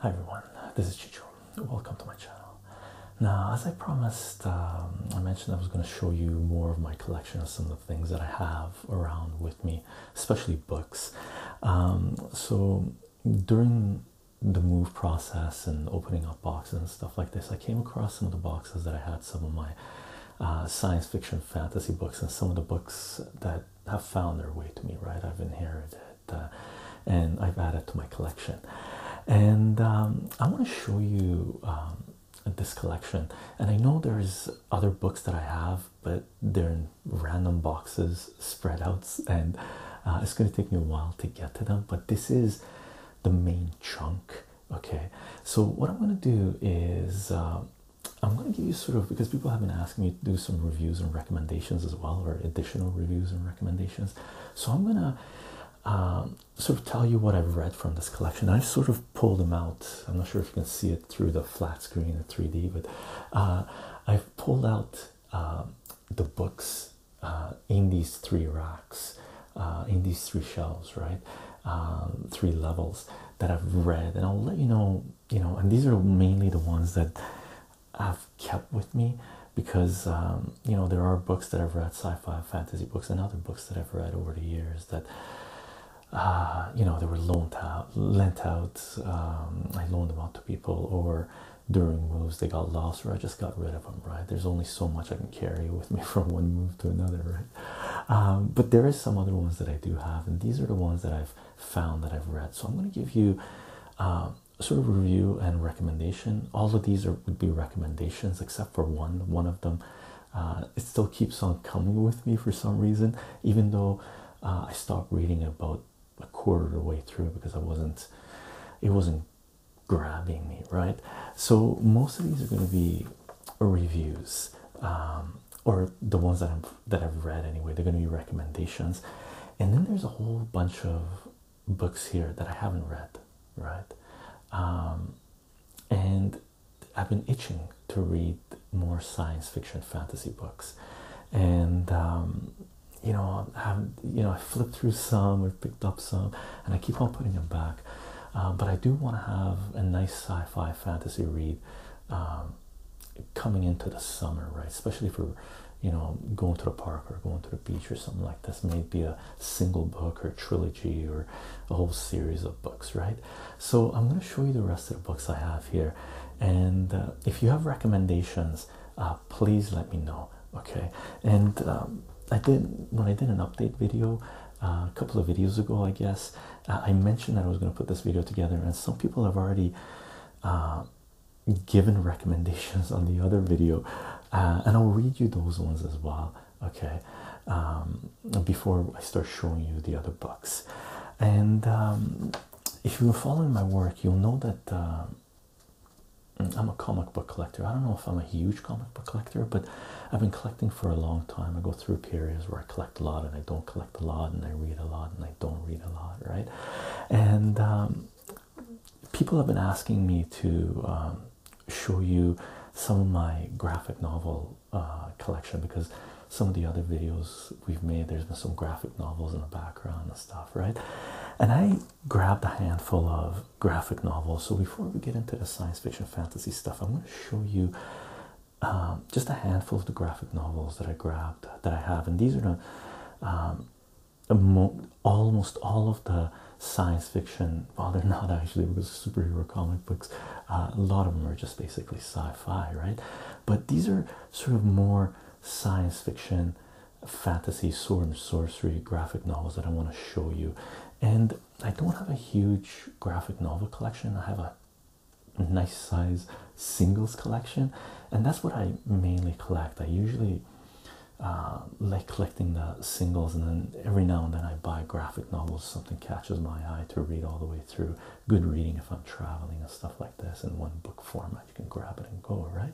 Hi everyone, this is Chicho. Welcome to my channel. Now, as I promised, um, I mentioned I was going to show you more of my collection of some of the things that I have around with me, especially books. Um, so during the move process and opening up boxes and stuff like this, I I came across some of the boxes that I had some of my uh, science fiction fantasy books and some of the books that have found their way to me, right? I've inherited uh, and I've added to my collection. And um, I want to show you um, this collection. And I know there's other books that I have, but they're in random boxes, spread out, and uh, it's going to take me a while to get to them. But this is the main chunk okay so what i'm going to do is uh, i'm going to give you sort of because people have been asking me to do some reviews and recommendations as well or additional reviews and recommendations so i'm going to um, sort of tell you what i've read from this collection i sort of pulled them out i'm not sure if you can see it through the flat screen the 3d but uh, i've pulled out um, the books uh, in these three ra uh, in these three shelves, right? Um, three levels that I've read, and I'll let you know, you know, and these are mainly the ones that I've kept with me because um, you know there are books that I've read, sci-fi, fantasy books, and other books that I've read over the years that. Uh, you know, they were loaned out, lent out. Um, I loaned them out to people, or during moves they got lost, or I just got rid of them. Right? There's only so much I can carry with me from one move to another, right? Um, but there is some other ones that I do have, and these are the ones that I've found that I've read. So I'm going to give you um, sort of review and recommendation. All of these are would be recommendations, except for one. One of them, uh, it still keeps on coming with me for some reason, even though uh, I stopped reading about a quarter of the way through because I wasn't, it wasn't grabbing me, right? So, most of these are going to be reviews, um, or the ones that, I'm, that I've read anyway, they're going to be recommendations. And then there's a whole bunch of books here that I haven't read, right? Um, and I've been itching to read more science fiction fantasy books, and um, you know, I have you know, I flipped through some I picked up some, and I keep on putting them back. Um, but I do want to have a nice sci-fi fantasy read um, coming into the summer, right? Especially for you know going to the park or going to the beach or something like this. Maybe a single book or trilogy or a whole series of books, right? So I'm going to show you the rest of the books I have here, and uh, if you have recommendations, uh, please let me know. Okay, and um, I did when I did an update video a couple of videos ago, I guess. Uh, I mentioned that I was going to put this video together, and some people have already uh, given recommendations on the other video, uh, and I'll read you those ones as well, okay? Um, before I start showing you the other books. And um, if you're following my work, you'll know that. Um, I'm a comic book collector. I don't know if I'm a huge comic book collector, but I've been collecting for a long time. I go through periods where I collect a lot and I don't collect a lot, and I read a lot and I don't read a lot, right? And um, people have been asking me to um, show you some of my graphic novel uh, collection because some of the other videos we've made, there's been some graphic novels in the background and stuff, right? And I grabbed a handful of graphic novels. So before we get into the science fiction fantasy stuff, I'm going to show you um, just a handful of the graphic novels that I grabbed that I have, and these are the, um, almost all of the science fiction. Well, they're not actually because superhero comic books. Uh, a lot of them are just basically sci-fi, right? But these are sort of more science fiction fantasy sword and sorcery graphic novels that i want to show you and I don't have a huge graphic novel collection. I have a nice size singles collection, and that's what I mainly collect. I usually uh, like collecting the singles, and then every now and then I buy graphic novels. Something catches my eye to read all the way through. Good reading if I'm traveling and stuff like this in one book format. You can grab it and go, right?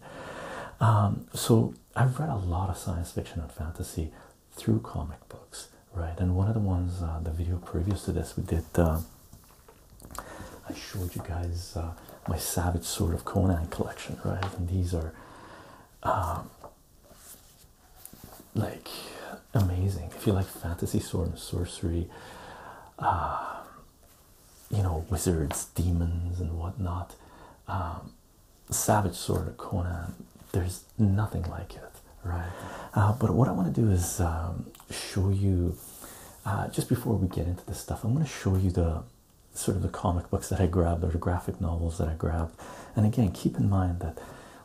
Um, so I've read a lot of science fiction and fantasy through comic books, right? And one of the ones, uh, the video previous to this, we did. Uh, I showed you guys uh, my Savage Sword of Conan collection, right? And these are um, like amazing. If you like fantasy sword and sorcery, um, you know, wizards, demons, and whatnot, um, savage sword of Conan. There's nothing like it, right? Uh, but what I want to do is um, show you uh, just before we get into this stuff. I'm going to show you the sort of the comic books that I grabbed or the graphic novels that I grabbed. And again, keep in mind that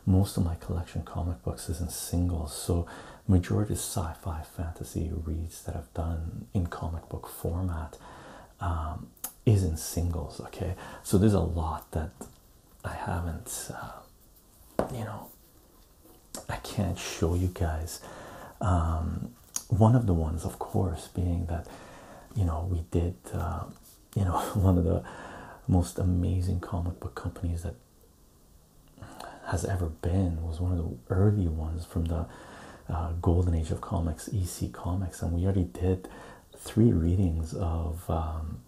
most of my collection comic books is in singles, so majority is sci-fi fantasy reads that I've done in comic book format um, is in singles. Okay, so there's a lot that I haven't, uh, you know, I can't show you guys. Um, one of the ones, of course, being that you know we did, uh, you know, one of the most amazing comic book companies that has ever been was one of the early ones from the uh, golden age of comics, EC Comics, and we already did three readings of um,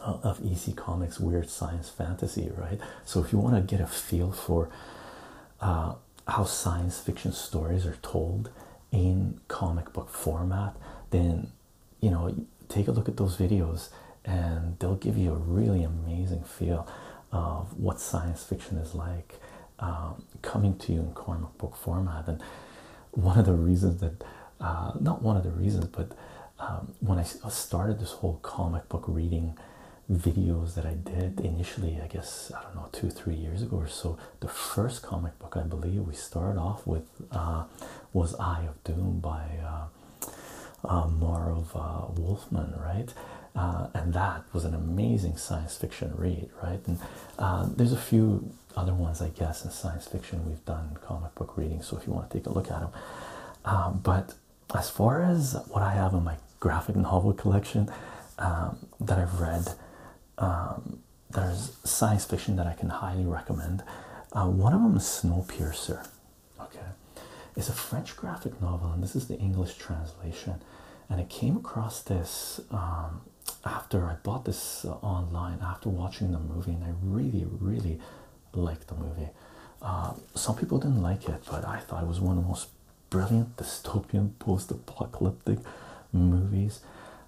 of EC Comics Weird Science Fantasy, right? So if you want to get a feel for uh, how science fiction stories are told in comic book format, then you know take a look at those videos and they'll give you a really amazing feel of what science fiction is like um, coming to you in comic book format and one of the reasons that uh, not one of the reasons, but um, when I started this whole comic book reading videos that I did initially, I guess I don't know two three years ago or so. The first comic book I believe we started off with uh, was Eye of Doom by uh, uh, uh Wolfman, right? and that was an amazing science fiction read, right? And there's a few other ones, I guess, in science fiction we've done comic book reading. So if you want to take a look at them, um, but as far as what I have in my graphic novel collection um, that I've read, um, there's science fiction that I can highly recommend. Uh, one of them is Snowpiercer. Okay, it's a French graphic novel, and this is the English translation. And I came across this after I bought this uh, online after watching the movie, and I really, really liked the movie. Uh, some people didn't like it, but I thought it was one of the most brilliant dystopian post-apocalyptic movies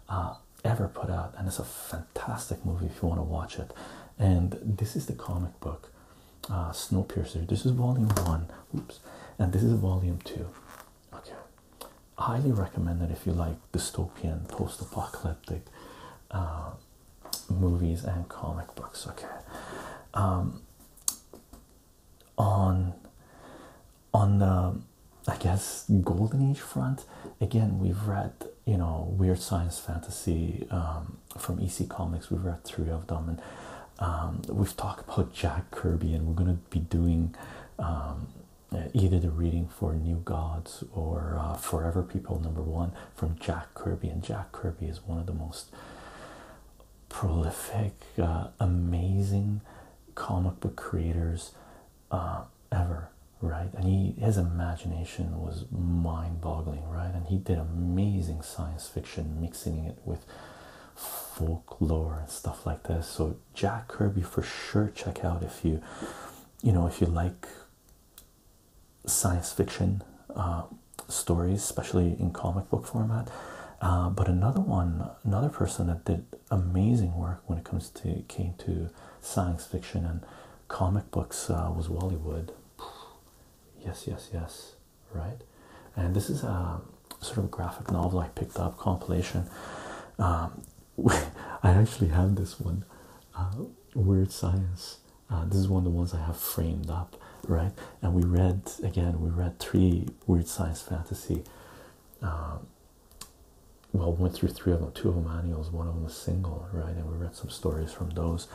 uh, ever put out, and it's a fantastic movie if you want to watch it. And this is the comic book, uh, Snowpiercer. This is volume one. Oops, and this is volume two. Okay, highly recommend it if you like dystopian, post apocalyptic uh, movies and comic books. Okay. Um, on on the I guess golden age front again we've read you know weird science fantasy um, from EC Comics we've read three of them and um, we've talked about Jack Kirby and we're gonna be doing uh, either the reading for New Gods or uh, Forever People number one from Jack Kirby, and Jack Kirby is one of the most prolific, uh, amazing comic book creators ever, right? And he his imagination was mind-boggling, right? And he did amazing science fiction, mixing it with folklore and stuff like this. So Jack Kirby for sure check out if you you know if you like science fiction uh, stories, especially in comic book format. Uh, but another one, another person that did amazing work when it comes to came to science fiction and comic books uh, was Wally Wood. Yes, yes, yes, right. And this is a sort of graphic novel I picked up compilation. Um, I actually have this one uh, weird Science. Uh, this is one of the ones I have framed up, right? And we read again, we read three Weird Science Fantasy. Um, well, went through three of them, two of them annuals, one of them was single, right? And we read some stories from those.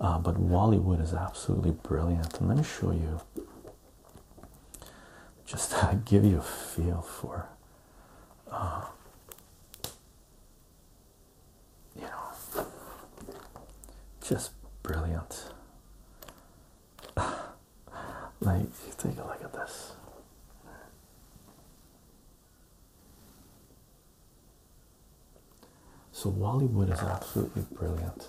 Uh, but Wally Wood is absolutely brilliant. And let me show you just give you a feel for you know, just brilliant. like, take a look at this. So, Wally Wood is absolutely brilliant.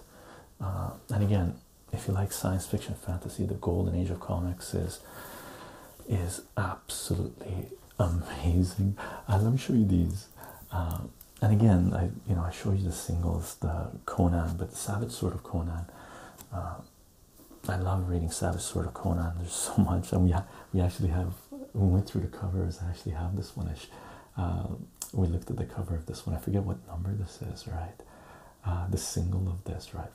Uh, and again, if you like science fiction fantasy, the golden age of comics is is absolutely amazing. Uh, let me show you these. Uh, and again, I you know I show you the singles, the Conan, but the Savage Sword of Conan. Uh, I love reading Savage Sword of Conan. There's so much, and we we actually have we went through the covers. I actually have this one. we looked at the cover of this one. I forget what number this is, right? the single of this, right?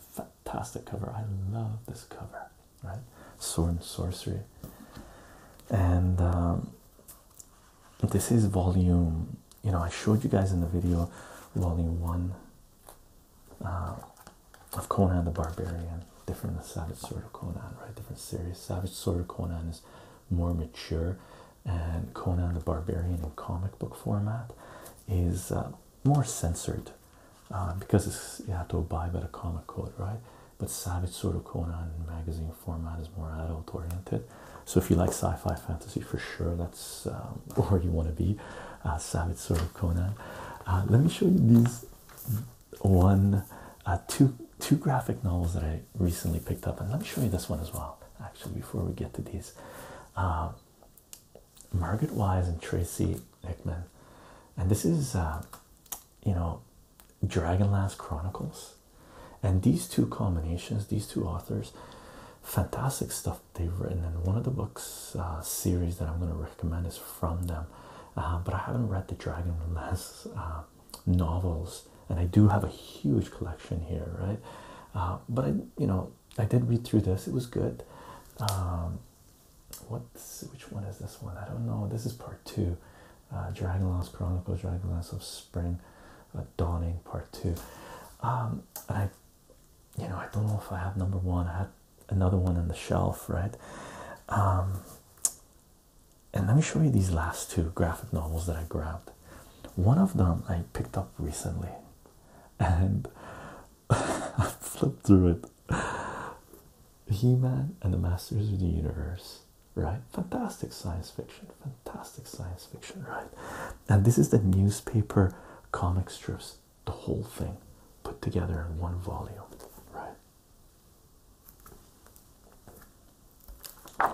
Fantastic cover. I love this cover right? Sword and Sorcery. And um, this is volume, you know, I showed you guys in the video, volume one uh, of Conan the Barbarian, different the Savage Sword of Conan, right? Different series. Savage Sword of Conan is more mature, and Conan the Barbarian in comic book format is uh, more censored um, because you have to abide by the comic code, right? But Savage Sword of Conan magazine format is more adult oriented. So if you like sci-fi fantasy for sure, that's um, where you want to be. Uh, Savage Sword of Conan. Uh, let me show you these one, uh, two, graphic novels that I recently picked up, and let me show you this one as well. Actually, before we get to these, Margaret Wise and Tracy Hickman, and this is uh, you know Dragonlance Chronicles, and these two combinations, these two authors, fantastic stuff they've written. And one of the books uh, series that I'm going to recommend is from them, uh, but I haven't read the Dragonlance novels, and I do have a huge collection here, right? but I, you know, I did read through this; it was good. Um, what's which one is this one? I don't know. This is part two. Uh, Dragonlance Chronicles, Dragonlance of Spring, uh, Dawning, part two. Um, and I, you know, I don't know if I have number one. I had another one on the shelf, right? Um, and let me show you these last two graphic novels that I grabbed. One of them I picked up recently, and I flipped through it. He Man and the Masters of the Universe, right? Fantastic science fiction, fantastic science fiction, right? And this is the newspaper comic strips, the whole thing put together in one volume, right?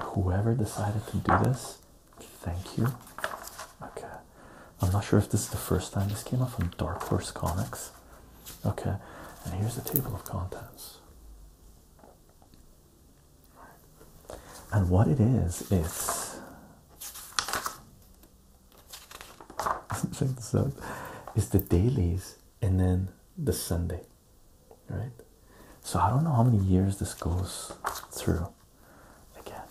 Whoever decided to do this, thank you. Okay, I'm not sure if this is the first time this came out from Dark Horse Comics okay and here's the table of contents and what it is is check is the dailies and then the Sunday right so I don't know how many years this goes through again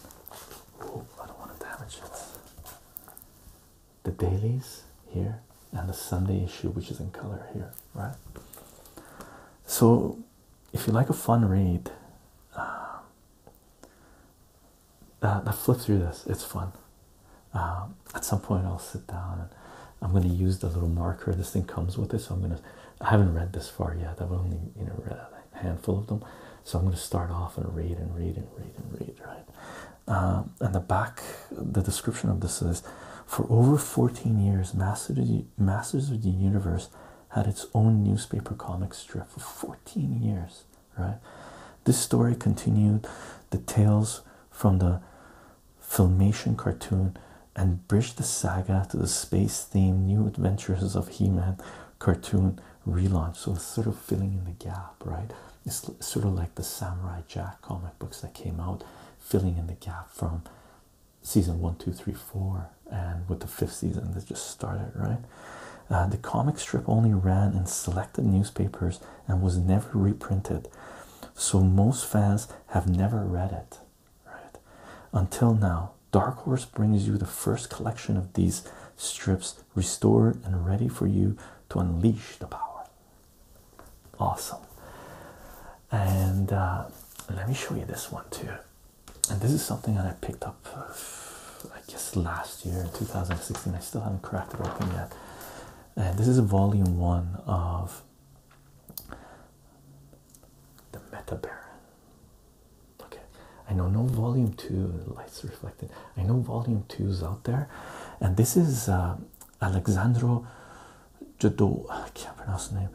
I don't want to damage it the dailies here and the Sunday issue, which is in color here, right? So, if you like a fun read, uh, uh flip through this, it's fun. Uh, at some point, I'll sit down and I'm going to use the little marker. This thing comes with it, so I'm going to. I haven't read this far yet. I've only you know read a handful of them, so I'm going to start off and read and read and read and read, right? Uh, and the back the description of this is for over 14 years masters of the, universe had its own newspaper comic strip for 14 years right this story continued the tales from the filmation cartoon and bridged the saga to the space-themed new adventures of he-man cartoon relaunch so it's sort of filling in the gap right it's sort of like the Samurai Jack comic books that came out, filling in the gap from season one, two, three, four, and with the fifth season that just started, right? Uh, the comic strip only ran in selected newspapers and was never reprinted, so most fans have never read it, right? Until now, Dark Horse brings you the first collection of these strips restored and ready for you to unleash the power Awesome. And uh, let me show you this one too. And this is something that I picked up, uh, I guess, last year in 2016. I still haven't cracked it open yet. And this is volume one of The Meta Baron. Okay, I know no volume two, lights reflected. I know volume two is out there. And this is uh, Alexandro Jodor, I can name,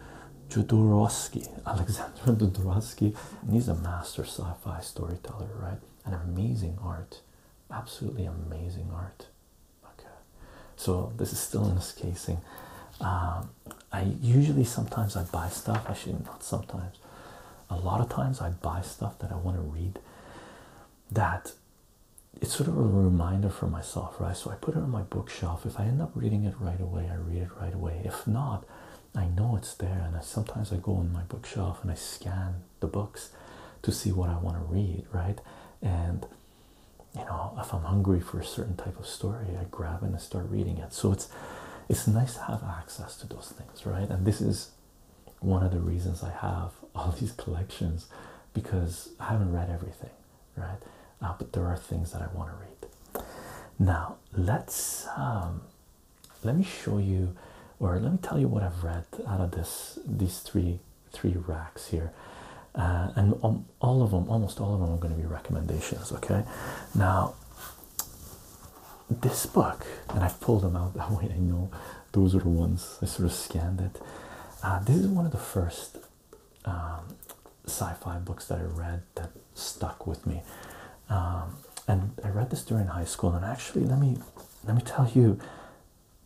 Jodorowsky, Alexandro Jodorowsky, and he's a master sci-fi storyteller, right? An amazing art, absolutely amazing art. Okay, so this is still in this casing. Um, I usually sometimes I buy stuff. I should not sometimes. A lot of times I buy stuff that I want to read that it's sort of a reminder for myself, right? So I put it on my bookshelf. If I end up reading it right away, I read it right away. If not, I know it's there. And sometimes I go on my bookshelf and I scan the books to see what I want to read, right? And you know, if I'm hungry for a certain type of story, I grab it and I start reading it. So it's it's nice to have access to those things, right? And this is one of the reasons I have all these collections because I haven't read everything, right? Uh, but there are things that I want to read. Now let's um, let me show you, or let me tell you what I've read out of this these three three racks here, uh, and um, all of them, almost all of them, are going to be recommendations. Okay, now this book, and I've pulled them out that way. I know those are the ones I sort of scanned it. Uh, this is one of the first um, sci-fi books that I read that stuck with me, um, and I read this during high school. And actually, let me let me tell you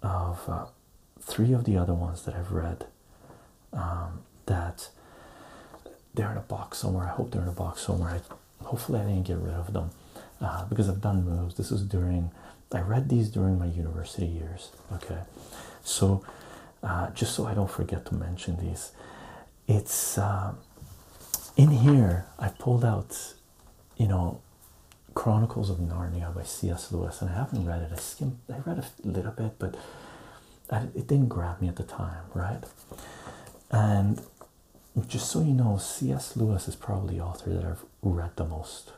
of uh, three of the other ones that I've read um, that they're in a box somewhere. I hope they're in a box somewhere. I, hopefully, I didn't get rid of them uh, because I've done moves. This was during I read these during my university years. Okay, so uh, just so I don't forget to mention these, it's um, in here. I pulled out, you know, Chronicles of Narnia by C.S. Lewis, and I haven't read it. I skimmed. I read a little bit, but it didn't grab me at the time, right? And just so you know, C.S. Lewis is probably the author that I've read the most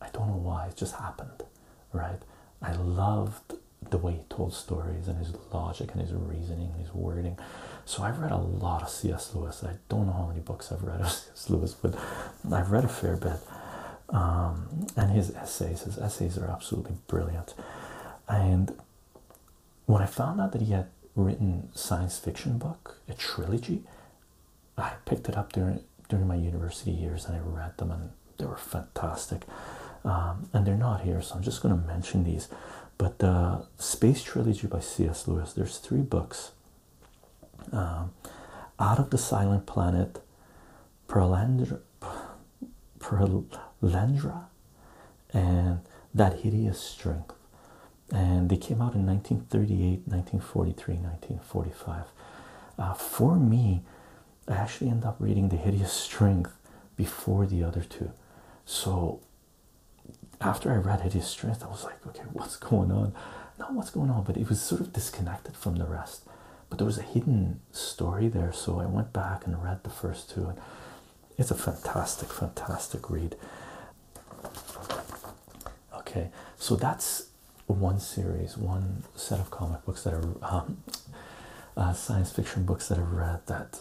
I don't know why, it just happened, right? I loved the way he told stories and his logic and his reasoning his wording. So I've read a lot of C.S. Lewis. I don't know how many books I've read of C.S. Lewis, but I've read a fair bit. Um, and his essays, his essays are absolutely brilliant. And when I found out that he had written science fiction book, a trilogy, I picked it up during during my university years and I read them and they were fantastic. Um, and they're not here, so I'm just going to mention these. But the Space Trilogy by C.S. Lewis. There's three books. Um, Out of the Silent Planet, Perelandra, and That Hideous Strength and they came out in 1938 1943 1945 uh, for me i actually end up reading the hideous strength before the other two so after i read hideous strength i was like okay what's going on not what's going on but it was sort of disconnected from the rest but there was a hidden story there so i went back and read the first two it's a fantastic fantastic read okay so that's one series, one set of comic books that are um, uh, science fiction books that I've read that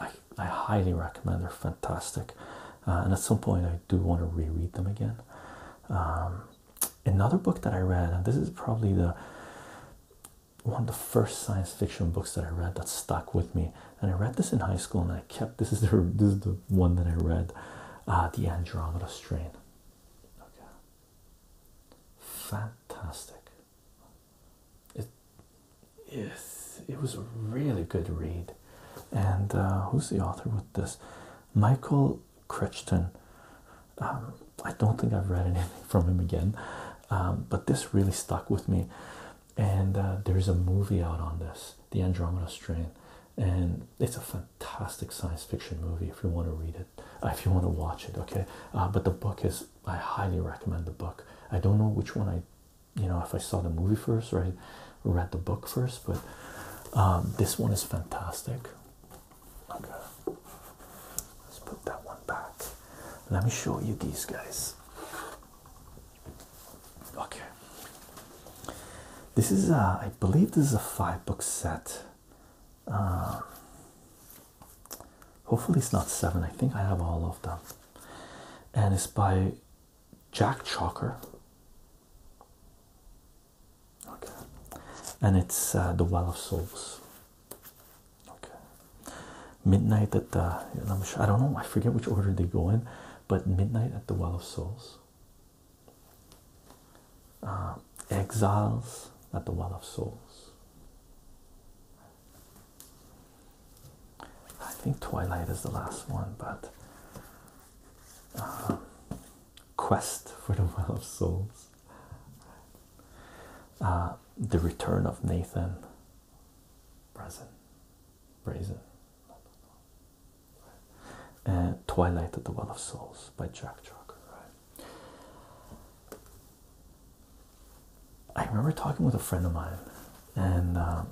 I, I highly recommend. They're fantastic, uh, and at some point I do want to reread them again. Um, another book that I read, and this is probably the one of the first science fiction books that I read that stuck with me, and I read this in high school, and I kept this is the this is the one that I read uh, the Andromeda strain. Okay, fantastic. It, it was a really good read. And uh, who's the author with this? Michael Crichton. Um, I don't think I've read anything from him again, um, but this really stuck with me. And uh, there's a movie out on this, The Andromeda Strain and it's a fantastic science fiction movie if you want to read it uh, if you want to watch it okay uh, but the book is i highly recommend the book i don't know which one i you know if i saw the movie first or i read the book first but um, this one is fantastic okay let's put that one back let me show you these guys okay this is, a, uh, I believe, this is a five book set. Um, hopefully, it's not seven. I think I have all of them, and it's by Jack Chalker. Okay, and it's uh, the Well of Souls. Okay, Midnight at the. I'm I don't know. I forget which order they go in, but Midnight at the Well of Souls. Uh, exiles at the well of souls i think twilight is the last one but uh, quest for the well of souls uh, the return of nathan brazen brazen and uh, Twilight at the Well of Souls by Jack Drucker. Right? I remember talking with a friend of mine, and um,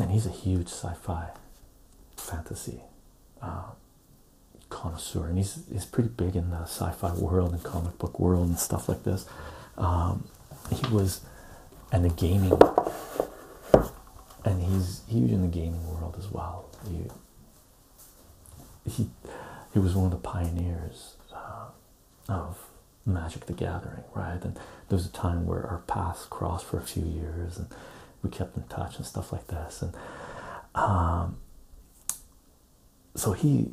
and he's a huge sci-fi fantasy uh, connoisseur, and he's he's pretty big in the sci-fi world and comic book world and stuff like this. Um, he was, and the gaming and he's he was in the gaming world as well. He he, was one of the pioneers uh, of Magic the Gathering, right? And there was a time where our paths crossed for a few years, and we kept in touch and stuff like this. And um, so he,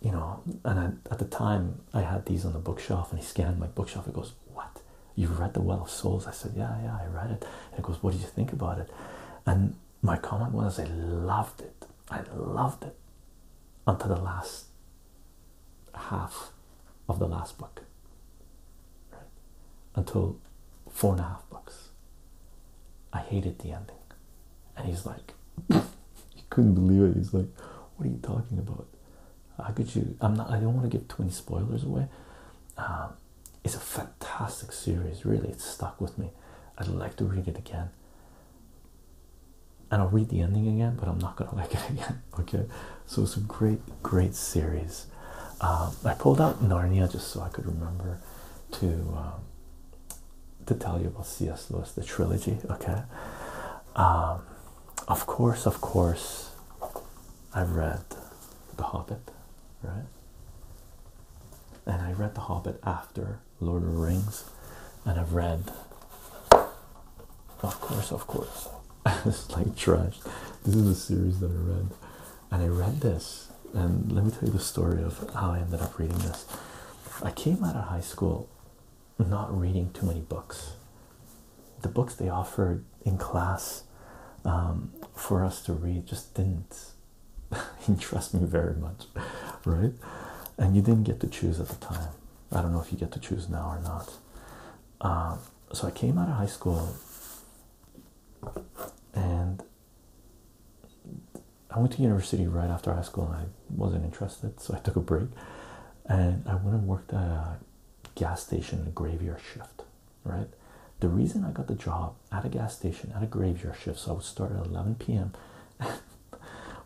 you know, and at the time I had these on the bookshelf, and he scanned my bookshelf. He goes, "What? you read The Well of Souls? I said, Yeah, yeah, I read it. And he goes, What do you think about it? And my comment was, I loved it. I loved it until the last half of the last book. Until four and a half books. I hated the ending. And he's like, he couldn't believe it. He's like, What are you talking about? How could you? I'm not, I don't want to give 20 spoilers away. Um, it's a fantastic series, really. It's stuck with me. I'd like to read it again. And I'll read the ending again, but I'm not gonna like it again. Okay, so it's a great, great series. Um, I pulled out Narnia just so I could remember to um, to tell you about C.S. Lewis, the trilogy. Okay, um, of course, of course, I've read The Hobbit right? And I read The Hobbit after Lord of the Rings, and I've read, of course, of course, this is like trash. This is the series that I read, and I read this. And let me tell you the story of how I ended up reading this. I came out of high school not reading too many books. The books they offered in class um, for us to read just didn't interest me very much, right? And you didn't get to choose at the time. I don't know if you get to choose now or not. Um, so I came out of high school and I went to university right after high school and I wasn't interested, so I took a break and I went and worked at a gas station graveyard shift, right? The reason I got the job at a gas station at a graveyard shift, so I would start at 11 p.m.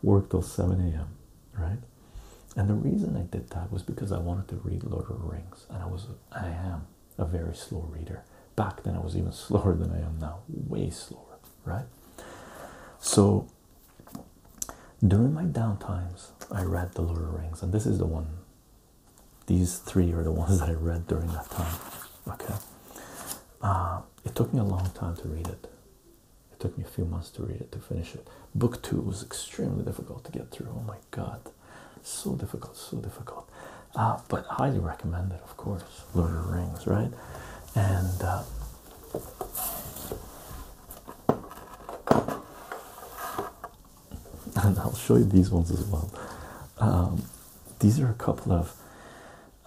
work till 7 a.m., right? And the reason I did that was because I wanted to read Lord of the Rings, and I was I am a very slow reader. Back then I was even slower than I am now, way slower, right? So during my down times, I read The Lord of the Rings, and this is the one these three are the ones that I read during that time. Okay. Uh, it took me a long time to read it. It took me a few months to read it, to finish it. Book two was extremely difficult to get through. Oh my God. So difficult, so difficult. Uh, but highly recommended, of course. Lord of the Rings, right? And. Uh, and I'll show you these ones as well. Um, these are a couple of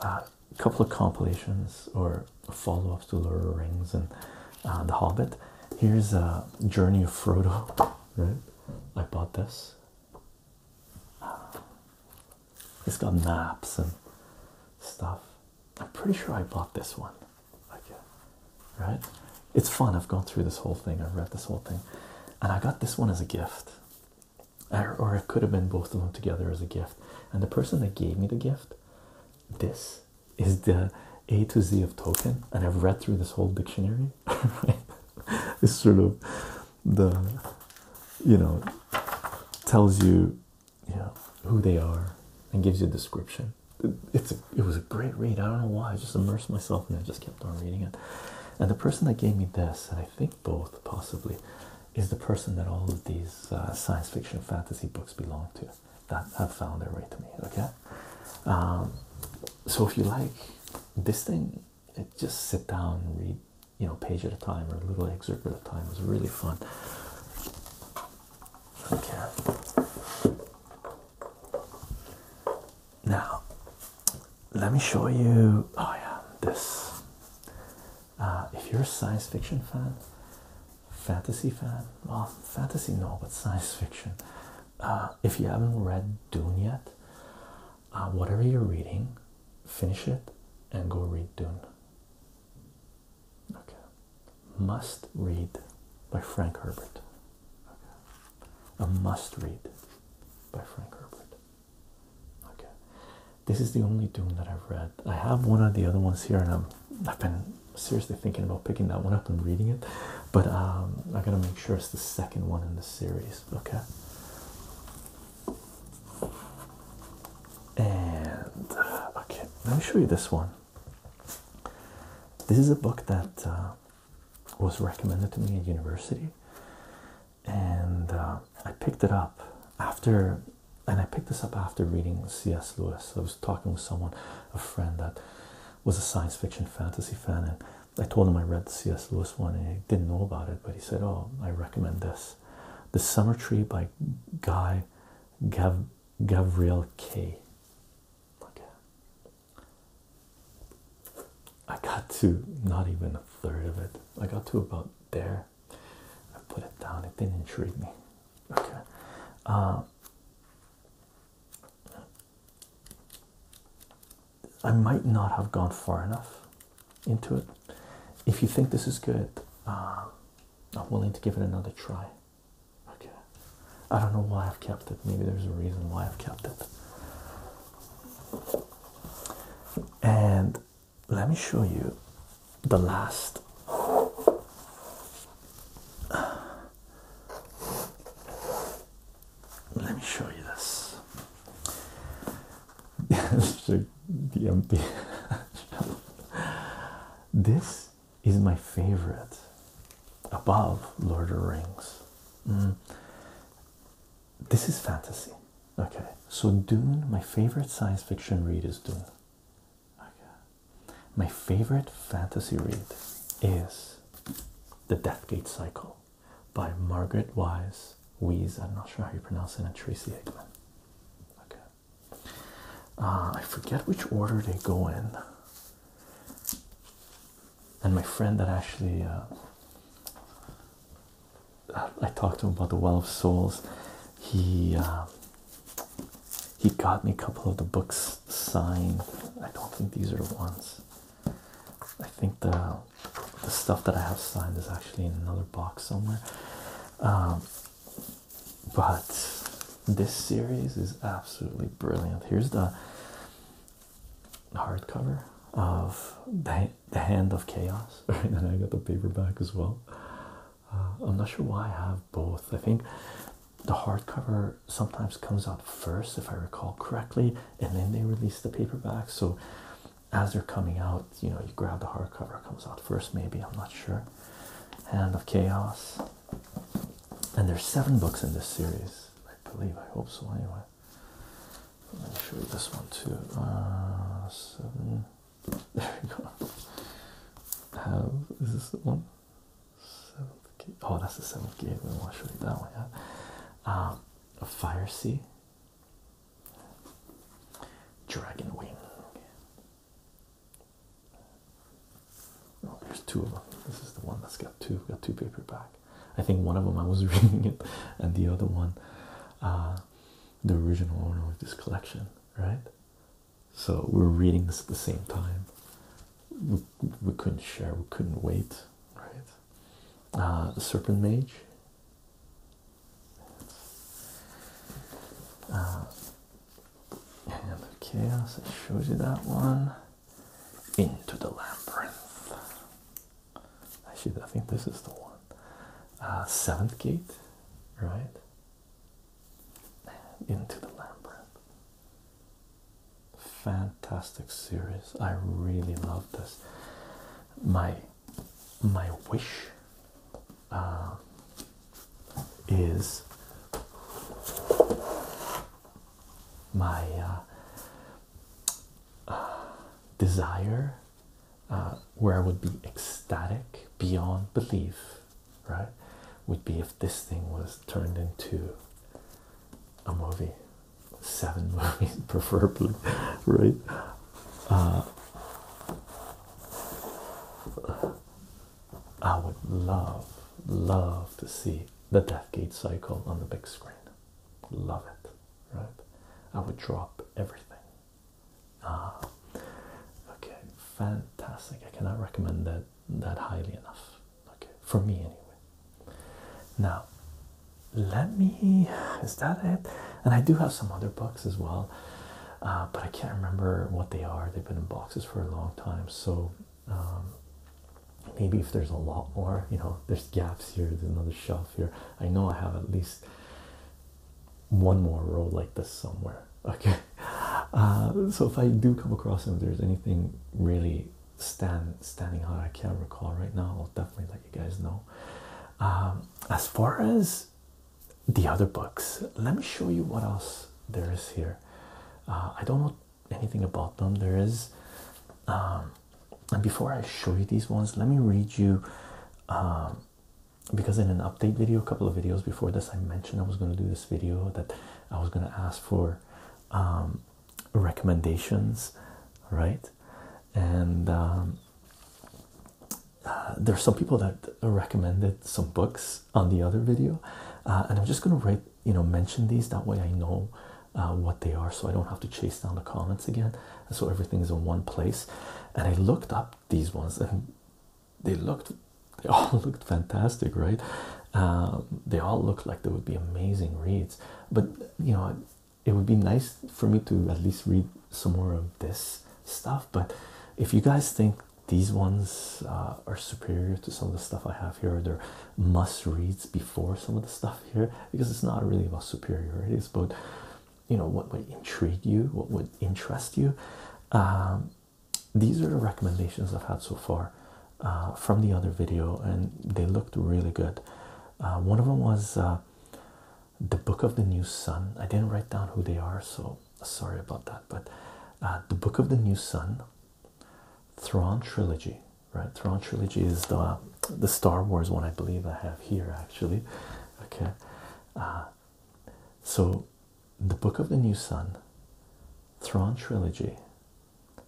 a uh, couple of compilations or follow-ups to Lord of the Rings and uh, The Hobbit. Here's a uh, Journey of Frodo. Right, I bought this. It's got maps and stuff. I'm pretty sure I bought this one. right? It's fun. I've gone through this whole thing. I've read this whole thing. And I got this one as a gift. Or, it could have been both of them together as a gift. And the person that gave me the gift, this is the A to Z of token. And I've read through this whole dictionary. It's sort of the, you know, tells you, you know, who they are and gives you a description. It's a, it was a great read. I don't know why. I just immersed myself and I just kept on reading it. And the person that gave me this, and I think both possibly, is the person that all of these uh, science fiction fantasy books belong to that have found their way to me. Okay. Um, so if you like this thing, just sit down and read, you know, page at a time or a little excerpt at a time. It was really fun. Okay. Now, let me show you. Oh, yeah, this. Uh, if you're a science fiction fan, fantasy fan, well, fantasy no, but science fiction. Uh, if you haven't read Dune yet, uh, whatever you're reading, finish it and go read Dune. Okay, must read by Frank Herbert. A must read by Frank Herbert. Okay. This is the only Doom that I've read. I have one of the other ones here, and I'm, I've been seriously thinking about picking that one up and reading it, but um, I gotta make sure it's the second one in the series. Okay. And okay, let me show you this one. This is a book that uh, was recommended to me at university, and uh, I picked it up after. And I picked this up after reading C.S. Lewis. I was talking with someone, a friend that was a science fiction fantasy fan, and I told him I read C.S. Lewis one, and he didn't know about it. But he said, "Oh, I recommend this, The Summer Tree by Guy Gabriel K." Okay, I got to not even a third of it. I got to about there. I put it down. It didn't intrigue me. Okay. Uh, I might not have gone far enough into it. If you think this is good, uh, I'm willing to give it another try. Okay. I don't know why I've kept it. Maybe there's a reason why I've kept it and let me show you the last let me show you this DMP this is my favorite above Lord of the Rings mm this is fantasy. Okay, so Dune, my favorite science fiction read is Dune. Okay. My favorite fantasy read is The Deathgate Cycle by Margaret Weis. Wheeze. I'm not sure how you pronounce it, and Tracy Hickman. Okay. Uh, I forget which order they go in and my friend that actually uh, I talked to him about the Well of Souls. He uh, he got me a couple of the books signed. I don't think these are the ones. I think the the stuff that I have signed is actually in another box somewhere. Um, but this series is absolutely brilliant. Here's the hardcover of the, the Hand of Chaos, And I got the paperback as well. Uh, I'm not sure why I have both. I think the hardcover sometimes comes out first, if I recall correctly, and then they release the paperback. So as they're coming out, you know, you grab the hardcover, comes out first, maybe. I'm not sure. Hand of Chaos. And there's seven books in this series, I believe. I hope so, anyway let me show you this one too. Uh, seven. There we go. Have is this the one? Seventh Oh, that's the seventh game. I want to show you that one. Yeah. Um, a fire sea. Dragon wing. Oh, there's two of them. This is the one that's got two. We've got two paperbacks. I think one of them I was reading it, and the other one, uh, the original owner of this collection, right? So we were reading this at the same time. We, we couldn't share, we couldn't wait, right? Uh, the Serpent Mage. Uh, and of chaos, it shows you that one. Into the labyrinth. I should. I think this is the one. Uh, seventh Gate, right? Into the Labyrinth. Fantastic series. I really love this. My my wish uh, is my uh, desire uh, where I would be ecstatic beyond belief, right? Would be if this thing was turned into a movie, seven movies, preferably, right? Uh, I would love, love to see the Death Gate cycle on the big screen love it, right? I would drop everything. Ah, okay, fantastic. I cannot recommend that that highly enough. Okay, for me anyway. Now, let me. Is that it? And I do have some other books as well, uh, but I can't remember what they are. They've been in boxes for a long time, so. Um, maybe if there's a lot more you know there's gaps here there's another shelf here. I know I have at least one more row like this somewhere. Okay, uh, so if I do come across and there's anything really stand standing out, I can't recall right now. I'll definitely let you guys know. Um, as far as the other books, let me show you what else there is here. Uh, I don't know anything about them. There is um, and before I show you these ones, let me read you. Um, because in an update video, a couple of videos before this, I mentioned I was going to do this video that I was going to ask for um, recommendations, right? And um, uh, there's some people that recommended some books on the other video, uh, and I'm just going to write, you know, mention these that way I know uh, what they are so I don't have to chase down the comments again. so everything is in one place. And I looked up these ones and they looked, they all looked fantastic, right? Um, they all looked like they would be amazing reads. But you know, it would be nice for me to at least read some more of this stuff. But if you guys think these ones uh, are superior to some of the stuff I have here, or they're must reads before some of the stuff here because it's not really about superiority, it's about you know what would intrigue you, what would interest you. Um, these are the recommendations I've had so far uh, from the other video, and they looked really good. Uh, one of them was uh, the Book of the New Sun. I didn't write down who they are, so sorry about that. But the Book of the New Sun, Throne trilogy right? Throne trilogy is the the Star Wars one, I believe I have here actually. Okay, uh, so the Book of the New Sun, Thrawn trilogy,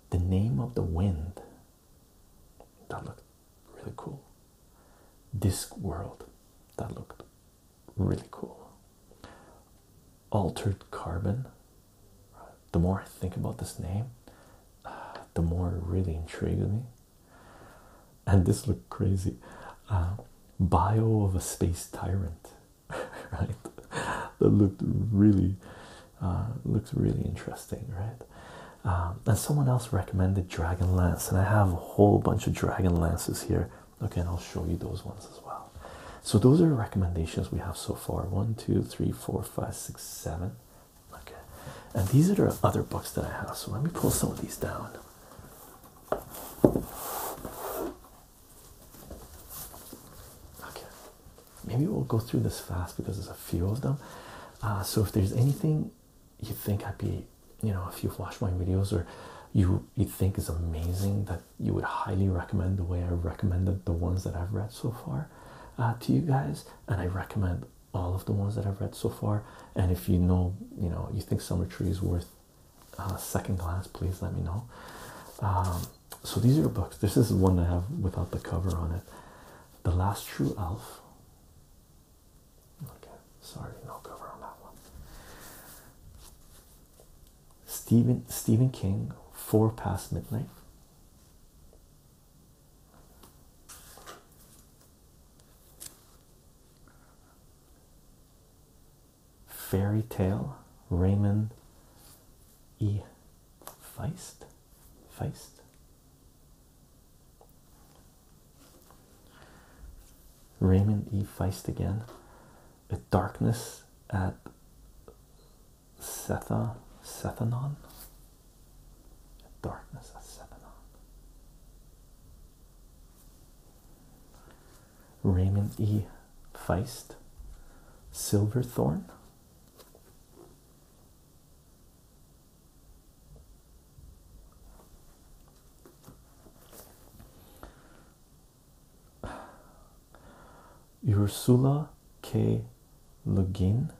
the Name of the Wind. That looked really cool. Disc World, that looked really cool. Altered Carbon. The more I think about this name, uh, the more it really intrigues me and this looked crazy uh, bio of a space tyrant right that looked really uh, looks really interesting right um, and someone else recommended Dragon Lance, and i have a whole bunch of Dragon Lances here okay and i'll show you those ones as well so those are recommendations we have so far one two three four five six seven Okay, and these are the other books that I have. So let me pull some of these down. Okay, maybe we'll go through this fast because there's a few of them. Uh, so if there's anything you think I'd be, you know, if you've watched my videos or you you think is amazing that you would highly recommend the way I recommended the ones that I've read so far uh, to you guys, and I recommend all of the ones that I've read so far. And if you know, you know, you think Summer Tree is worth uh, second glance, please let me know. Um, so these are books. This is one I have without the cover on it. The Last True Elf. Okay, sorry, no cover on that one. Stephen Stephen King, Four Past Midnight. Fairy Tale, Raymond E. Feist. Feist. Raymond E. Feist again. A darkness at Setha Sethanon Darkness of seven Raymond E. Feist, Silverthorn. Ursula K. Le Guin.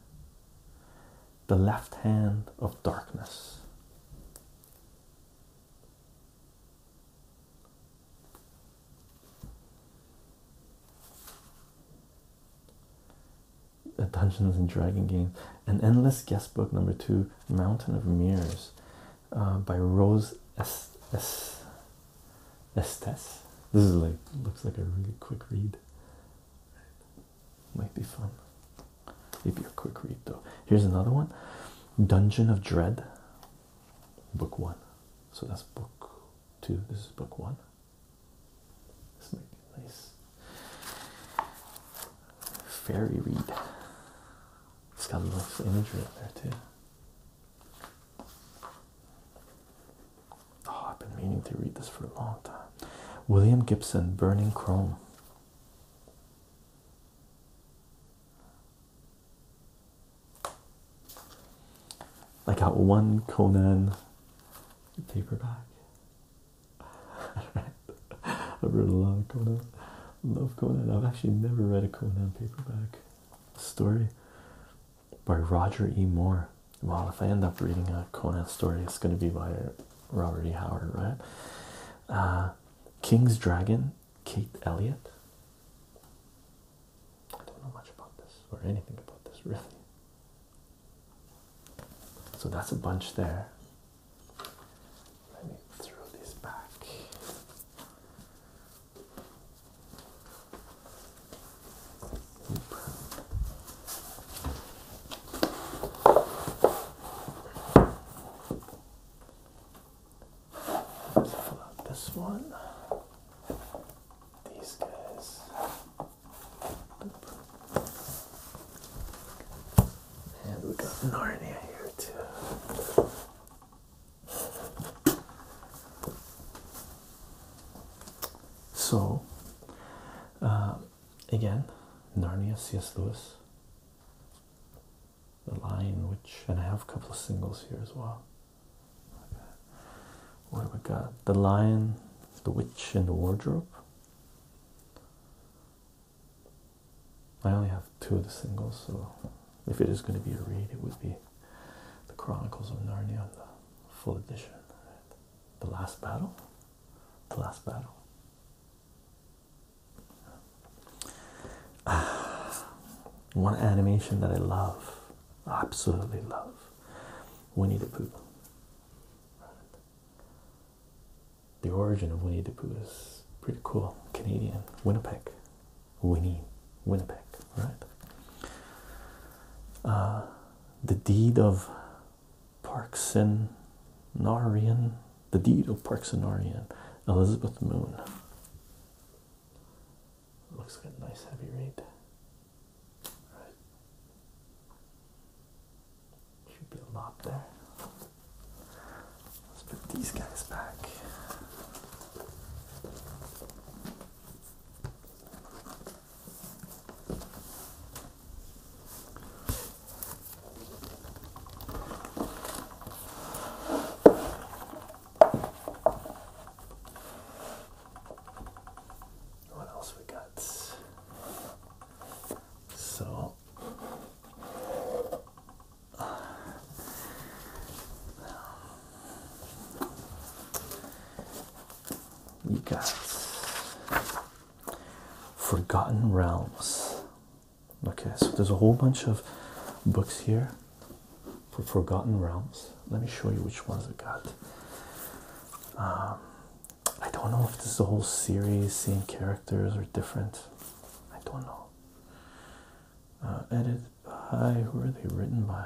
The Left Hand of Darkness. A Dungeons and Dragon games, an endless guestbook number two, Mountain of Mirrors, uh, by Rose S. S. Estes. This is like looks like a really quick read. Might be fun. Maybe a quick read though. Here's another one Dungeon of Dread, book one. So that's book two. This is book one. This might be nice. Fairy read. It's got a little imagery in there too. Oh, I've been meaning to read this for a long time. William Gibson, Burning Chrome. I got one Conan paperback. I've read a lot of Conan. Love Conan. I've actually never read a Conan paperback story by Roger E. Moore. Well, if I end up reading a Conan story, it's going to be by Robert E. Howard, right? Uh, King's Dragon, Kate Elliott. I don't know much about this or anything about this, really. So that's a bunch there. Let me throw this back this one. These guys. And we got Narnia here too. So, um, again, Narnia, C.S. Lewis. The Lion, which, and I have a couple of singles here as well. Okay. What have we got? The Lion, The Witch, and the Wardrobe. I only have two of the singles, so if it is going to be a read, it would be The Chronicles of Narnia, the full edition. The Last Battle. The Last Battle. Ah. One animation that I love, absolutely love, Winnie the Pooh. The origin of Winnie the Pooh is pretty cool. Canadian, Winnipeg, Winnie, Winnipeg, right? Uh, the deed of Narian, the deed of Narian, Elizabeth Moon. Looks like a nice heavy read. Right. Should be a lot there. Let's put these guys back. What else we got? So we got Forgotten Realms. Okay, so there's a whole bunch of books here for Forgotten Realms. Let me show you which ones I got. Um, I don't know if this is a whole series, same characters or different. I don't know. Uh, edited by, who are they written by?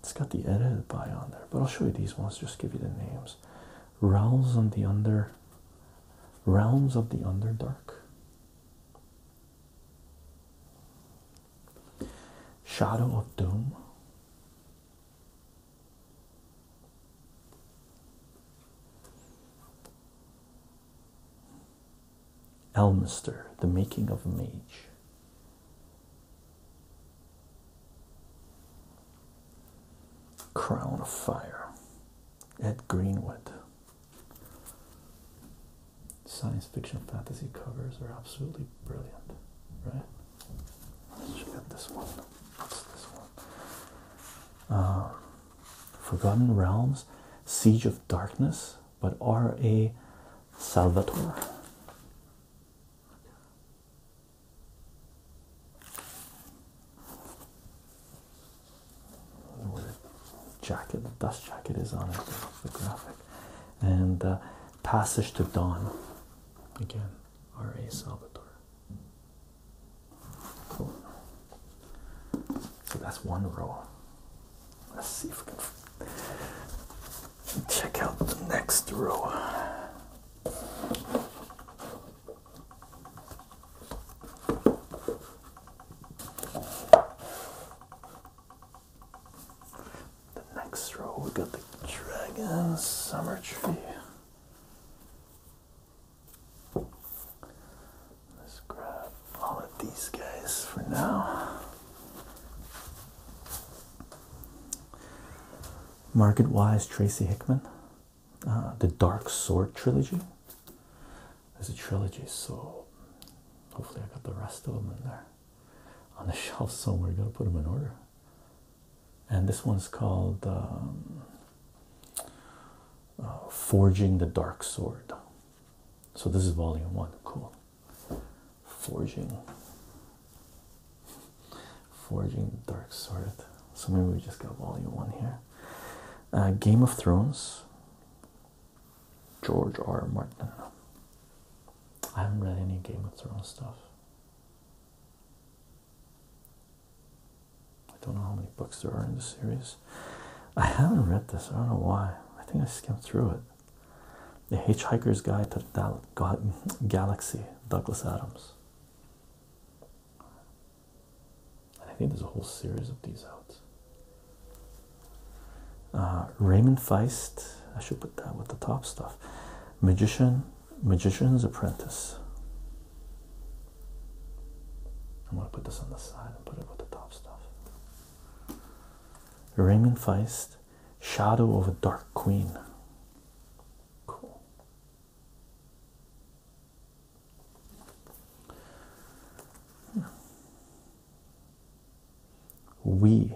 It's got the edited by on there, but I'll show you these ones, just give you the names. Realms of the Under Realms of the Underdark. Shadow of Doom. Elmister, the making of a mage. Crown of Fire, Ed Greenwood. Science fiction fantasy covers are absolutely brilliant, right? Let's check out this one. What's this one? Uh, Forgotten Realms, Siege of Darkness, but R.A. Salvatore. jacket, the dust jacket is on it, the graphic. And uh, Passage to Dawn. Again, R.A. Salvatore. Cool. So that's one row. Let's see if we can check out the next row. The next row, we got the dragon summer tree. Let's grab all of these guys for now. Market Wise, Tracy Hickman, uh, the Dark Sword trilogy. There's a trilogy, so hopefully I got the rest of them in there on the shelf somewhere. Got to put them in order. And this one's called um, uh, Forging the Dark Sword. So this is volume one. Cool forging forging the dark sword so maybe we just got volume one here uh, game of thrones george r martin i haven't read any game of thrones stuff i don't know how many books there are in the series i haven't read this i don't know why i think i skimmed through it the Hitchhiker's Guide to the Galaxy, Douglas Adams. I think there's a whole series of these out. Uh, Raymond Feist, I should put that with the top stuff. Magician, Magician's Apprentice. I'm going to put this on the side and put it with the top stuff. Raymond Feist, Shadow of a Dark Queen. We.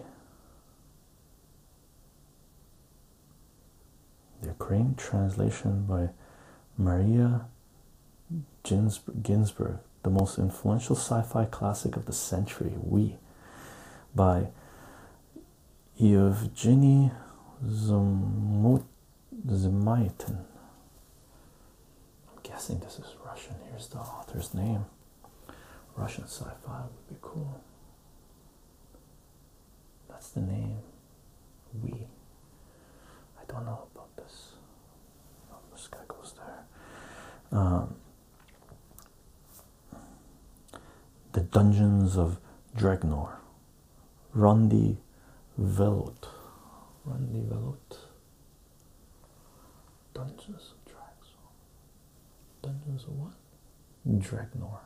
The Ukraine translation by Maria Ginsburg, the most influential sci fi classic of the century. We by Evgeny Zamytin. I'm guessing this is Russian. Here's the author's name. Russian sci-fi would be cool. That's the name. We. I don't know about this. Oh, this guy goes there. Um, the Dungeons of Dregnor, Rundi Velut, Rundi Velut, Dungeons of Draxor, Dungeons of what? Dregnor,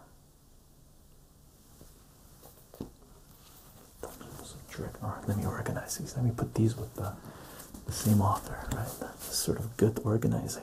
Dungeons of Dregnor. Let me organize these. Let me put these with the, same author, right? sort of good organizing.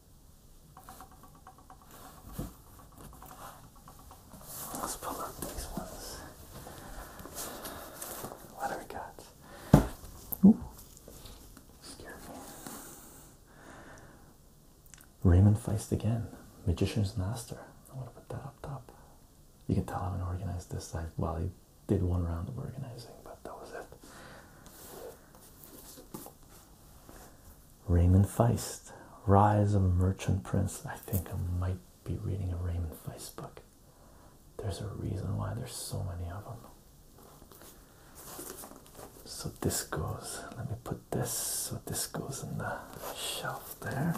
Let's pull out these ones. What do we got? Ooh. Scared me. Raymond Feist again, Magician's Master. I'm to put that up top. You can tell I haven't organized this side. Well, I did one round of organizing, but that was it. Raymond Feist, Rise of a Merchant Prince. I think I might be reading a Raymond Feist book. There's a reason why there's so many of them. So this goes, let me put this, so this goes in the shelf there.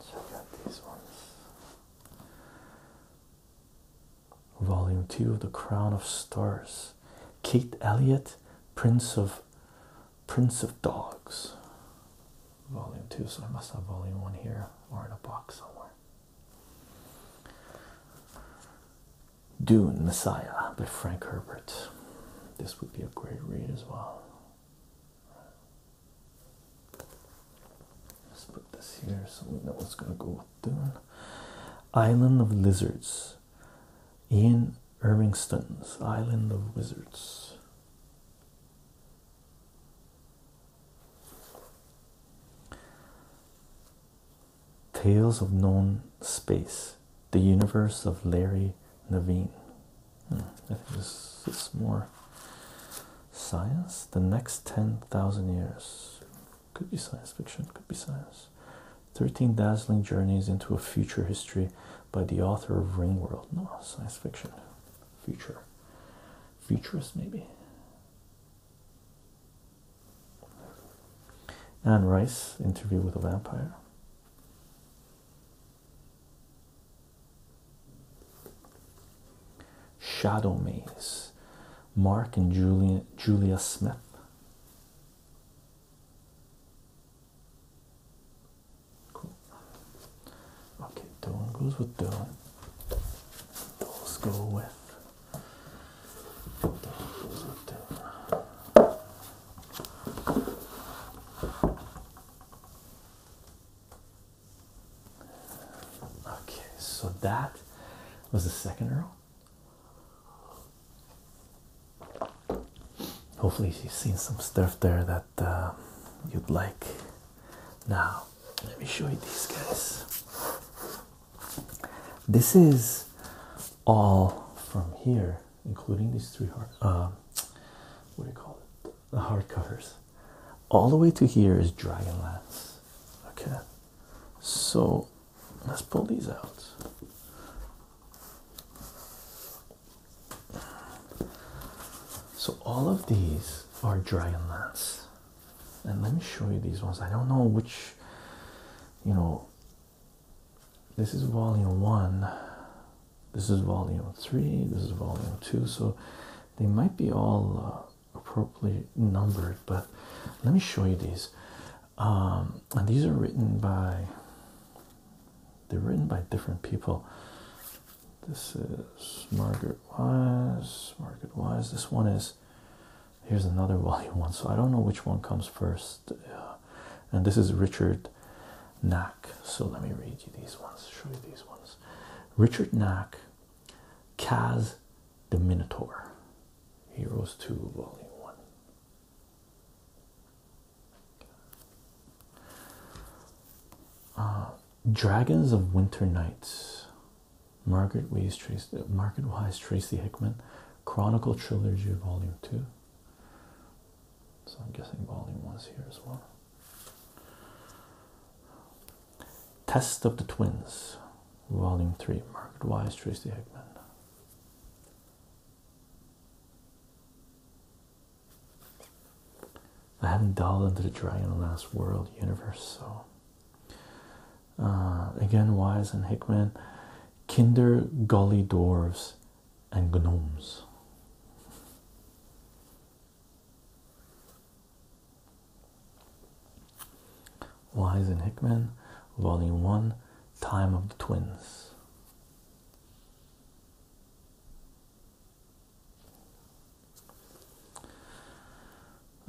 Check out these ones. Volume 2 of The Crown of Stars. Kate Elliott, Prince of Prince of Dogs. Volume 2, so I must have volume 1 here or in a box somewhere. Dune Messiah by Frank Herbert. This would be a great read as well. Let's put this here so we know what's going to go with Dune. Island of Lizards Ian Irvingston's Island of Wizards. Tales of Known Space, The Universe of Larry Naveen. Hmm, I think this is more science. The next 10,000 years could be science fiction, could be science. 13 Dazzling Journeys into a Future History by the author of Ringworld. No, science fiction. Future. Futurist, maybe. Anne Rice, Interview with a Vampire. Shadow Maze. Mark and Julia, Julia Smith. Okay, Doan goes with Doan. Those go with. Goes Okay, so that was the second Earl. Hopefully, you've seen some stuff there that uh, you'd like. Now, let me show you these guys. This is all from here, including these three hard. Uh, what do you call it? The hardcovers. All the way to here is Dragonlance. Okay, so let's pull these out. So all of these are Dragon Lance. And let me show you these ones. I don't know which, you know, this is volume one, this is volume three, this is volume two. So they might be all uh, appropriately numbered, but let me show you these um, and these are written by they're written by different people. This is Margaret Wise. Margaret Wise. This one is here's another volume one. So I don't know which one comes first. and this is Richard Knack. So let me read you these ones. Show you these ones. Richard Knack, Kaz the Minotaur. Heroes 2, Volume 1. Uh, dragons of Winter Nights, Margaret Wise Tracey, Margaret Wise Tracy Hickman, Chronicle Trilogy Volume Two. So I'm guessing Volume One's here as well. Test of the Twins, Volume Three, Margaret Wise Tracy Hickman. I haven't dialed into the Dragon World universe, so uh, again, Wise and Hickman, Kinder, golly Dwarves, and Gnomes. Wise and Hickman, Volume 1, Time of the Twins.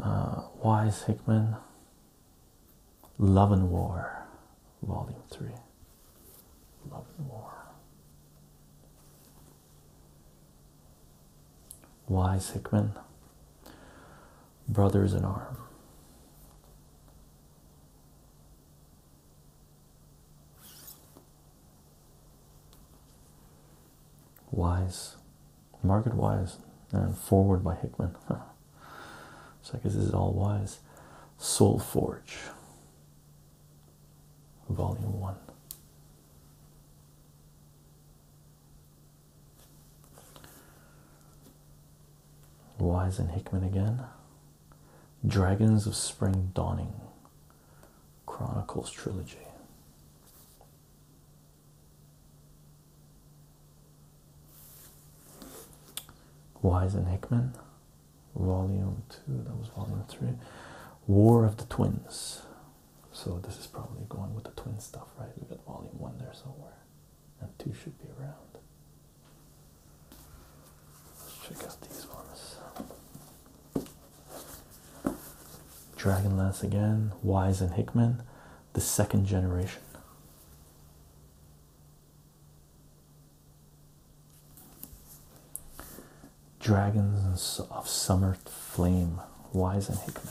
Uh, Wise Hickman, Love and War, Volume 3. Love and War. Wise Hickman, Brothers in Arms. Wise, Market Wise, and forward by Hickman. so I guess this is all Wise. Soul Forge, Volume One. Wise and Hickman again. Dragons of Spring Dawning. Chronicles Trilogy. Wise and Hickman, Volume 2, that was Volume 3. War of the Twins. So this is probably going with the twin stuff, right? We got Volume 1 there somewhere and two should be around. Let's check out these ones. Dragonlance again, Wise and Hickman, the second generation. Dragons of Summer Flame, Wise and Hickman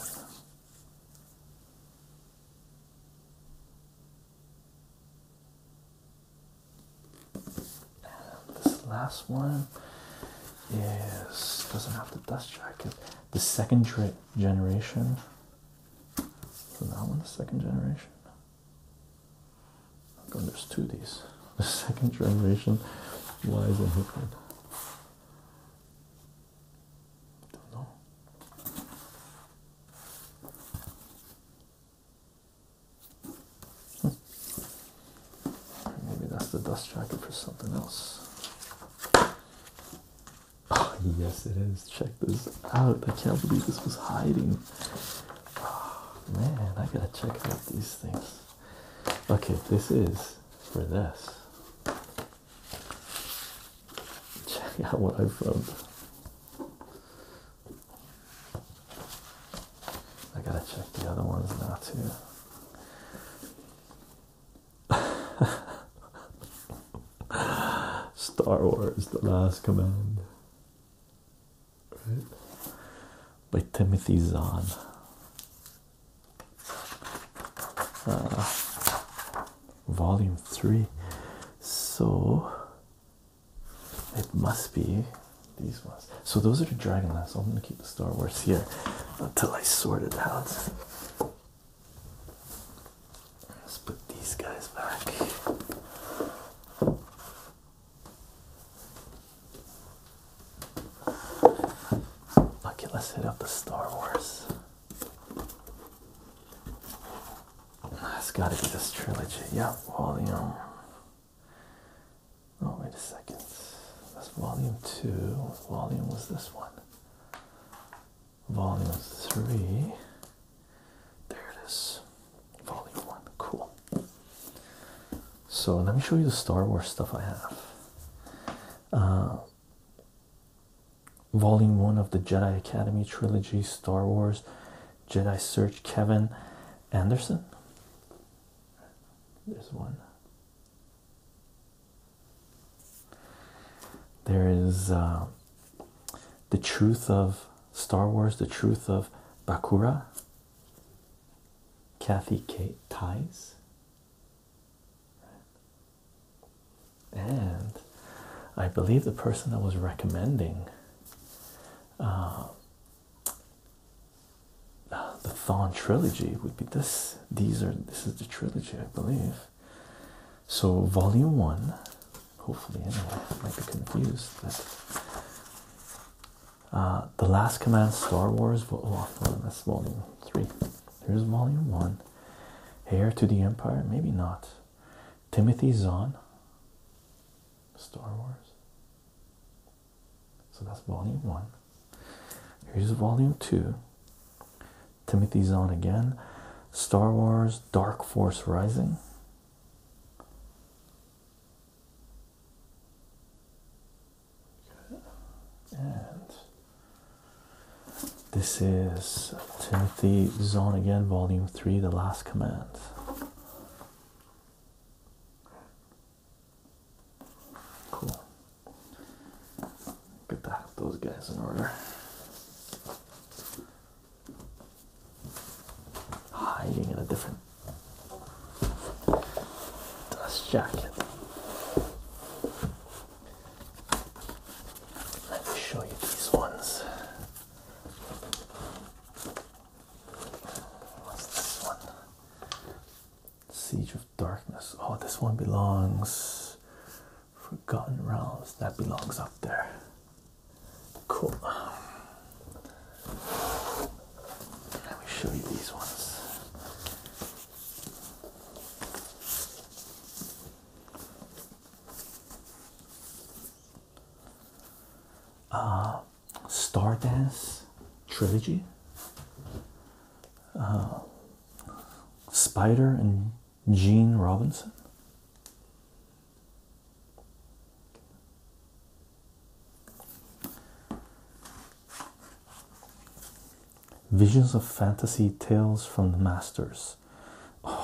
this last one is doesn't have the dust jacket. The second generation. So that one, the second generation. How there's two of these? The second generation. Why is it different? Don't know. Maybe that's the dust jacket for something else. Ah, yes, it is. Check this out. I can't believe this was hiding. Oh, man, I gotta check out these things. Okay, this is for this check out what I found. I gotta check the other ones now too. Star Wars The Last Command. Right? By Timothy Zahn. Uh, volume 3. So it must be these ones. So those are the Dragonlance. I'm gonna keep the Star Wars here until I sort it out. Let's put these guys back. Okay, let's hit up the Star Wars. That's gotta be this trilogy. Yeah, volume. Oh, wait a second. That's volume two. volume was this one? Volume three. There it is. Volume one. Cool. So let me show you the Star Wars stuff I have. Uh, Volume 1 of the Jedi Academy trilogy, Star Wars, Jedi Search, Kevin Anderson. There's one. There is uh, The Truth of Star Wars, The Truth of Bakura, Kathy Kate Ties and I believe the person that was recommending um, the Thon trilogy would be this. These are this is the trilogy, I believe. So volume one, hopefully I might be confused, but uh, The Last Command Star Wars Oh, well that's volume three. There's volume one. Heir to the Empire? Maybe not. Timothy Zahn, Star Wars. So that's volume one. Here's volume two. Timothy Zahn again. Star Wars Dark Force Rising. And this is is Timothy Zone again, Volume 3, The Last Command. Cool. Get those guys in order. Hiding in a different dust jacket. Let me show you these ones. What's this one? Siege of Darkness. Oh, this one belongs. Forgotten Realms. That belongs up there. Cool. Let me show you these ones. Uh, Star Dance trilogy, uh, Spider and Gene Robinson. Visions of Fantasy Tales from the Masters.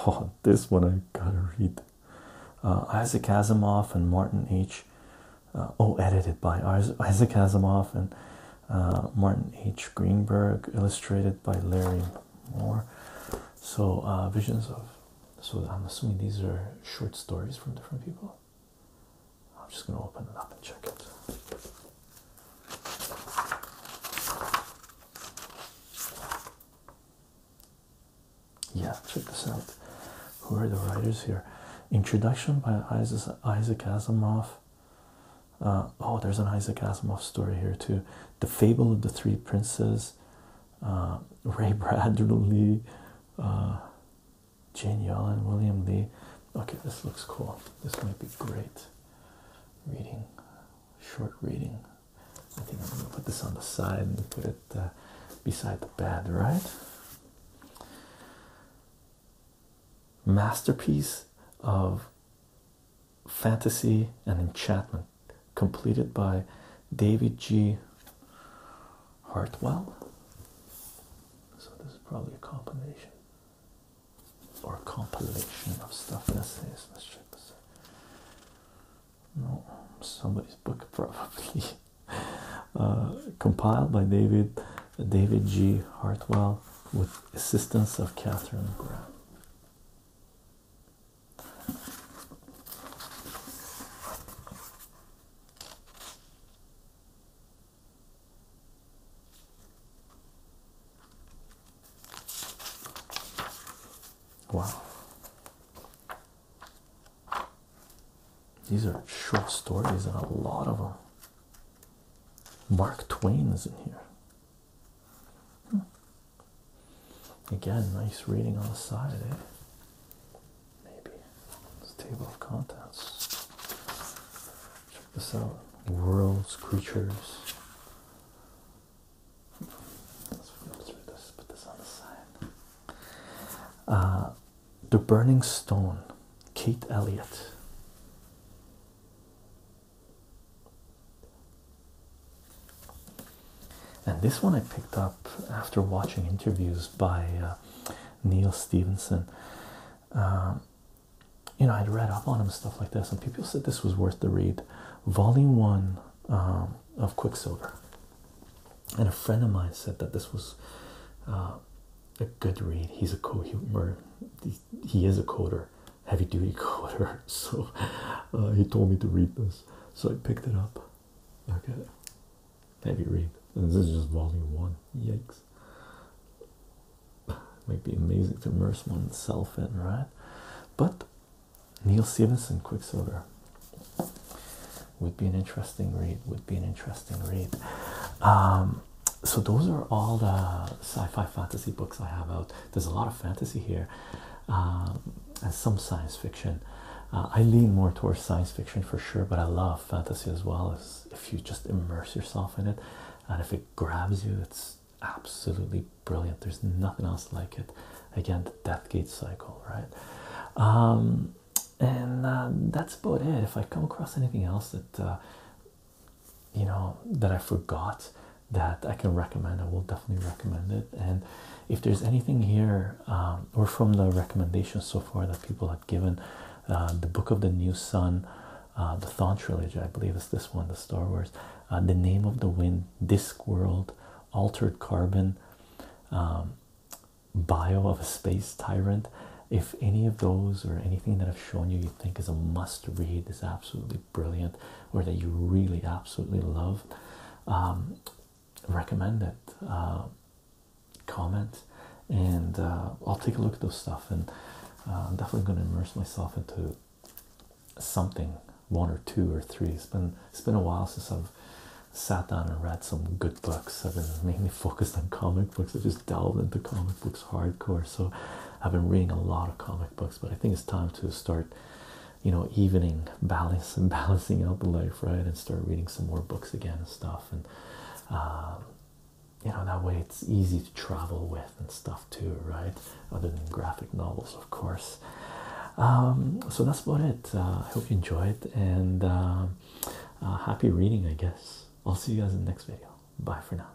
Oh, this one I gotta read. Uh, Isaac Asimov and Martin H. Uh, oh, edited by Isaac Asimov and uh, Martin H. Greenberg, illustrated by Larry Moore. So, uh, visions of. So, I'm assuming these are short stories from different people. I'm just going to open it up and check it. Yeah, check this out. Who are the writers here? Introduction by Isaac, Asimov. Uh, oh, there's an Isaac Asimov story here too. The Fable of the Three Princes. Uh, Ray Bradbury, uh, Jane Yellen, William Lee. Okay, this looks cool. This might be great. Reading, short reading. I think I'm going to put this on the side and put it uh, beside the bed, right? Masterpiece of fantasy and enchantment, completed by David G. Hartwell. So, this is probably a compilation or a compilation of stuff essays. Let's check this out no, somebody's book probably. Uh, compiled by David David G. Hartwell with assistance of Catherine Graham. Wow. These are short stories and a lot of them. Mark Twain is in here. Hmm. Again, nice reading on the side, eh? Maybe. It's table of contents. Check this out. Worlds, creatures, uh, the Burning Stone, Kate Elliott. And this one I picked up after watching interviews by uh, Neil Stevenson. Um, you know, I'd read up on him stuff like this, and people said this was worth the read. Volume one um, of Quicksilver, and a friend of mine said that this was uh, a good read. He's a co humor, he, is a coder, heavy duty coder. So uh, he told me to read this, so I picked it up. Okay, heavy read. And this is just volume one. Yikes! might be amazing to immerse oneself in, right? But Neil Stevenson, Quicksilver would be an interesting read. Would be an interesting read. Um, so those are all the sci-fi fantasy books I have out. There's a lot of fantasy here, um, and some science fiction. Uh, I lean more towards science fiction for sure, but I love fantasy as well. As if you just immerse yourself in it, and if it grabs you, it's absolutely brilliant. There's nothing else like it again the death gate cycle right um, and uh, that's about it if i come across anything else that uh, you know that i forgot that i can recommend i will definitely recommend it and if there's anything here um, or from the recommendations so far that people have given uh, the book of the new sun uh, the thon trilogy i believe is this one the star wars the name of the wind discworld altered carbon um, bio of a space tyrant if any of those or anything that i've shown you you think is a must read is absolutely brilliant or that you really absolutely love um, recommend it uh, comment and uh, i'll take a look at those stuff and uh, i'm definitely going to immerse myself into something one or two or three. It's been it's been a while since I've sat down and read some good books. I've been mainly focused on comic books. I have just delved into comic books hardcore. So I've been reading a lot of comic books, but I think it's time to start, you know, evening balance and balancing out the life, right? And start reading some more books again and stuff. And um, you know, that way it's easy to travel with and stuff too, right? Other than graphic novels, of course. Um, so that's about it uh, i hope you enjoyed and uh, uh, happy reading i guess i'll see you guys in the next video bye for now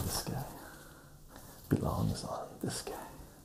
this guy belongs on this guy.